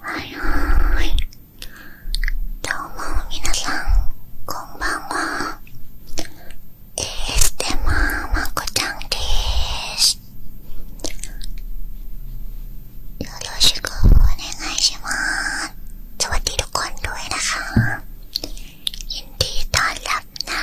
はいはーい。どうも皆さん、こんばんは。ASMR まこちゃんでーす。よろしくお願いしまーす。สวัสดีทุกคนด้วยนะคะยินดีต้อนรับนะ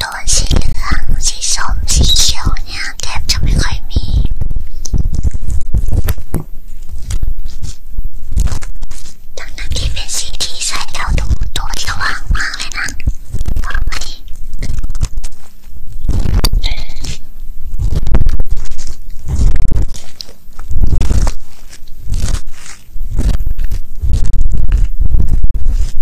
โทนสีเหลืองสีส้มสีเขียวเนี่ยแทบจะไม่ค่อยมีทั้งนั้นที่เป็นสีที่ใส่แล้วดูตัวสว่างมากเลยนะพอไหม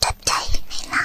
撮っちゃいない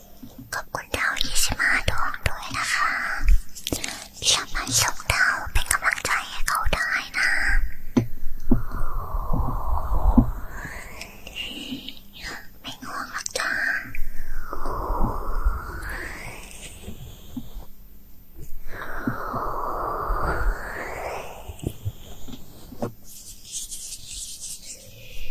ขอบคุณดาวยี่สิบห้าดวงด้วยนะคะที่สามารถส่งดาวเป็นกำลังใจให้เขาได้นะไม่ง่วงหรอกจ้า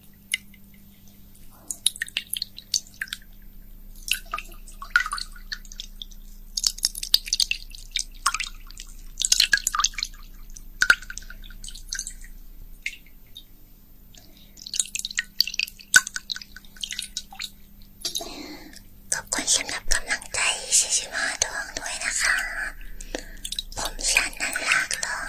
ขอบคุณสำหรับกำลังใจ45ดวงด้วยนะคะผมชันนันลากลง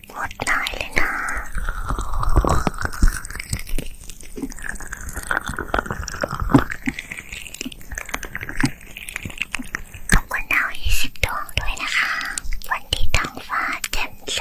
หมดหลายเลยนะ ขอบคุณดาวยี่สิบดวงด้วยนะคะ วันที่ท้องฟ้าแจ่มใส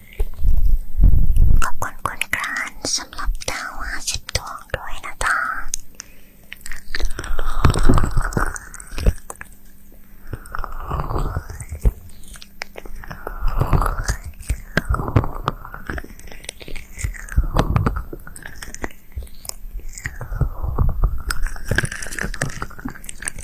ขอบคุณคุณกรานสำหรับดาว50ดวงด้วยนะจ๊ะ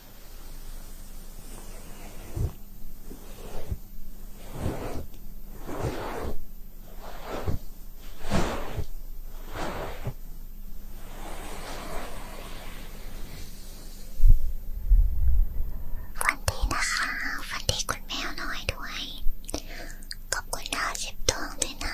ฝันดีนะคะฝันดีคุณแมวน้อยด้วย ขอบคุณดาวสิบดวงด้วยนะ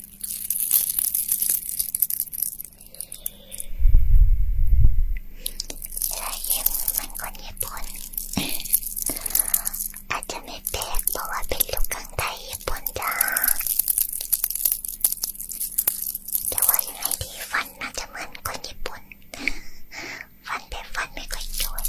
ลายเย็นมันคนญี่ปุ่นอาจจะไม่แปลกเพราะว่าเป็นลูกกังไทยญี่ปุ่นจ้าแต่ว่ายังไงดีฟันน่าจะเหมือนคนญี่ปุ่นฟันเป็นฟันไม่ค่อยสวย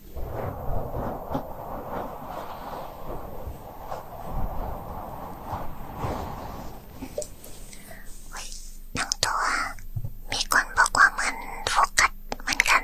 ทั้งตัว มีคนบอกว่าเหมือนโฟกัสเหมือนกัน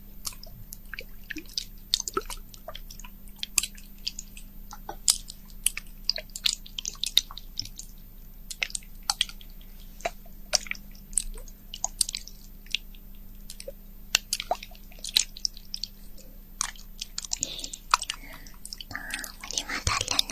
あー、無理はだっな。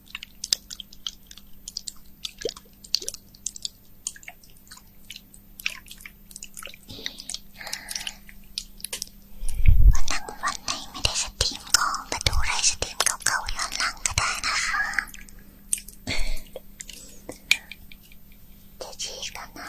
วันหลังวันไหนไม่ได้สตรีมก็มาดูไลฟ์สตรีมเก่าๆย้อนหลังก็ได้นะคะจะฉีกกันนะ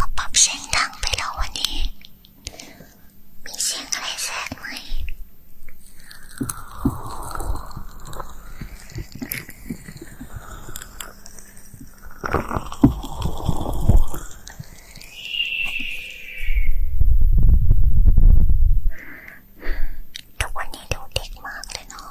ก็ปรับเสียงดังไปแล้ววันนี้ มีเสียงอะไรแทรกไหม ทุกวันนี้ดูเด็กมากเลยเนาะ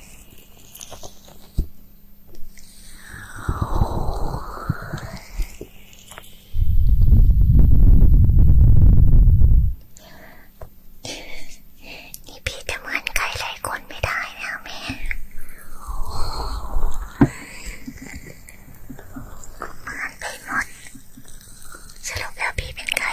นี่พี่จะเหมือนไก่หลายคนไม่ได้นะแม่เหมือนไปหมดสรุปแล้วพี่เป็นไก่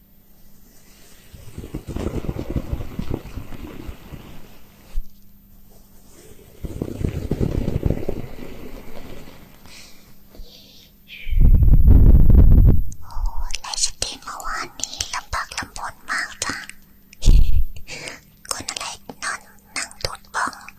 โอ้ไลฟ์สตรีมเมื่อวานนี้ลำบากลำบนมากจ้ะคนอะไรนอนนั่งตูดบ้องเ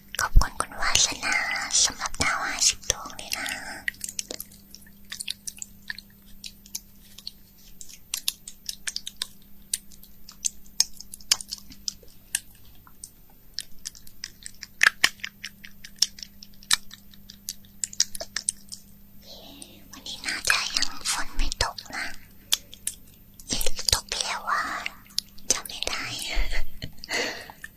ขอบคุณคุณวาสนาสำหรับดาวห้าสิบดวงเลยนะวันนี้น่าจะยังฝนไม่ตกนะตกแล้วว่าจะไม่ได้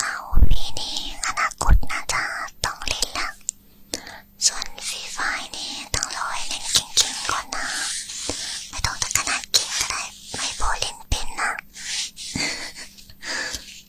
เอาปีนี้อนาคตน่าจะต้องเล่นละส่วนฟรีไฟนี่ต้องรอให้เล่นเก่งๆก่อนนะไม่ต้องถึงขนาดเก่งก็ได้ไม่พอเล่นเป็นนะ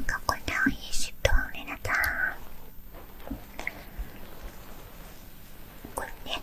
ここでおいしと皆さんこれね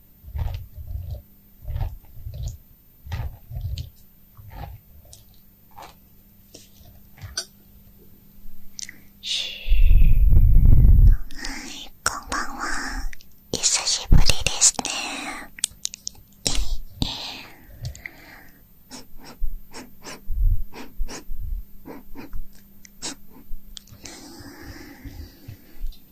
い、こんばんは。久しぶりですね。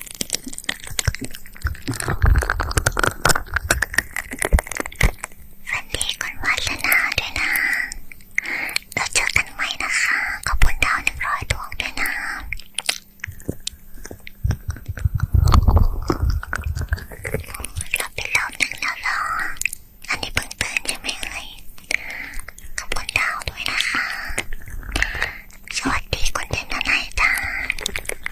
ฝันดีคุณวาสนาด้วยนะเราเจอกันไหมนะคะ ขอบคุณดาวหนึ่งร้อยดวงด้วยนะเราเป็นเราหนึ่งแล้วหรออันนี้เพิ่งตื่นใช่ไหมเอ่ยขอบคุณดาวด้วยนะคะ สวัสดีคุณเดนนายจ้า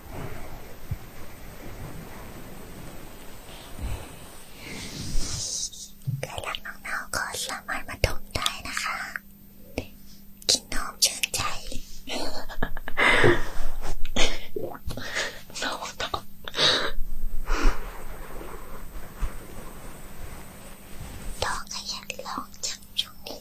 ใครรักน้องเน่าก็สามารถมาดมได้นะคะกินนมชื่นใจน้องน้องต้องขยันร้องจังช่วงนี้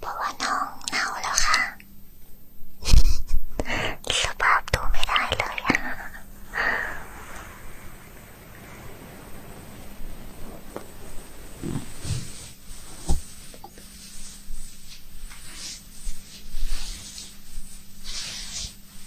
เพราะว่าน้องเน่าแล้วค่ะสภาพดูไม่ได้เลยอะ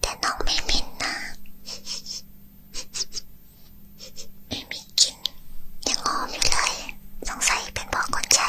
แต่น้องไม่มินนะไม่มีกิน ยังหอมอยู่เลย สงสัยเป็นพ่อคนใช้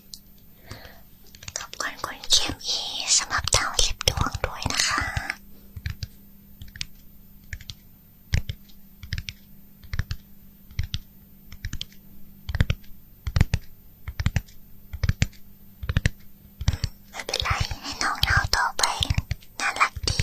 ขอบคุณคุณเคมีสำหรับดาวสิบดวงด้วยนะคะไม่เป็นไรให้น้องเราต่อไปน่ารักดี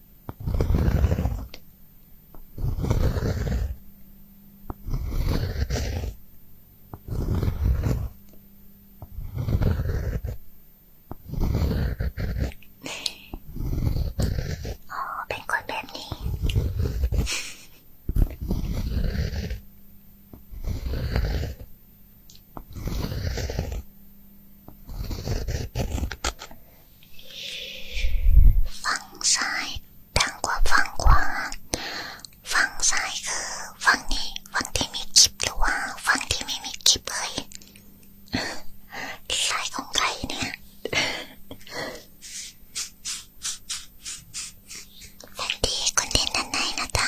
อ๋อเป็นคนแบบนี้เฝั่งซ้ายดังกว่าฝั่งขวาฝั่งซ้ายคือฝั่งนี้ฝั่งที่มีคลิปหรือว่าฝั่งที่ไม่มีคลิปเลยสายของใครเนี่ยฝันดีคนเด่นด้านในนะจ๊ะ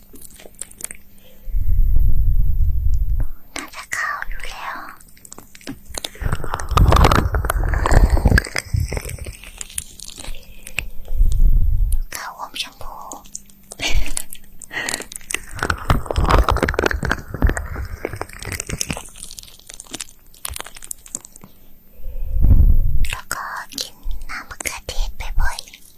น่าจะเข้าอยู่แล้วข้าวอมชมพูแล้วก็กินน้ำมะเขือเทศบ่อยๆ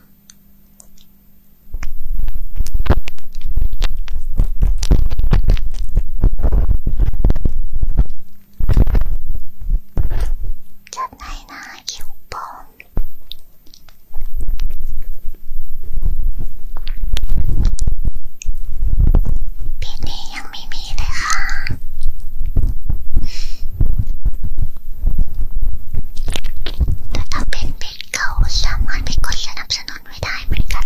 จัดให้นะคิวปองปีนี้ยังไม่มีเลยค่ะแต่ถ้าเป็นเพจเก่าสามารถไปกดสนับสนุนไว้ได้เหมือนกัน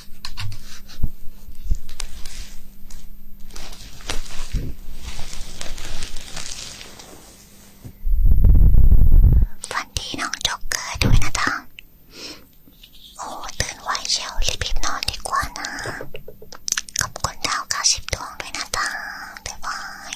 ฝันดีน้องจ็อกเกอร์ด้วยนะจ๊ะโอ้ตื่นไวเชียวรีบๆนอนดีกว่านะขอบคุณดาวเก้าสิบดวงด้วยนะจ๊ะบ๊ายบาย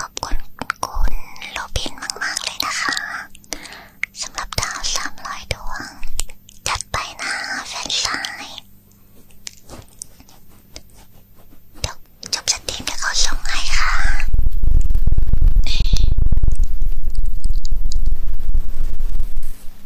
ขอบคุณคุณโรบินมากๆเลยนะคะสำหรับดาวสามร้อยดวงจัดไปนะแฟนชายเดี๋ยวจบสตรีมเดี๋ยวเขาส่งให้ค่ะ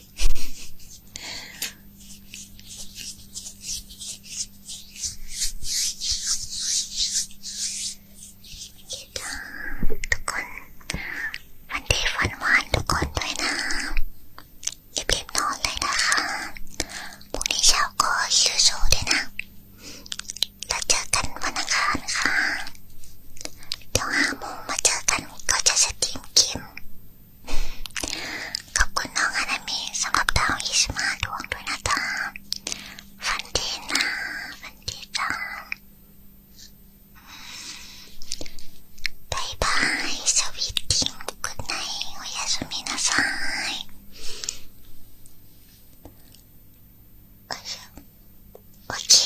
คิดถึงทุกคนวันดีฝันหวานทุกคนด้วยนะอย่ารีบนอนเลยนะคะพรุ่งนี้เช้าก็สู้ๆด้วยนะแล้วเจอกันวันอังคารค่ะเดี๋ยวห้าโมงมาเจอกันก็จะสตรีมเกมขอบคุณน้องอานามิสำหรับดาวอิสมาดวงด้วยนะจ๊ะฟันดีนะฟันดีจ้าบายบายสวีททีมกุดไนโอยาสุมินาซายโอเค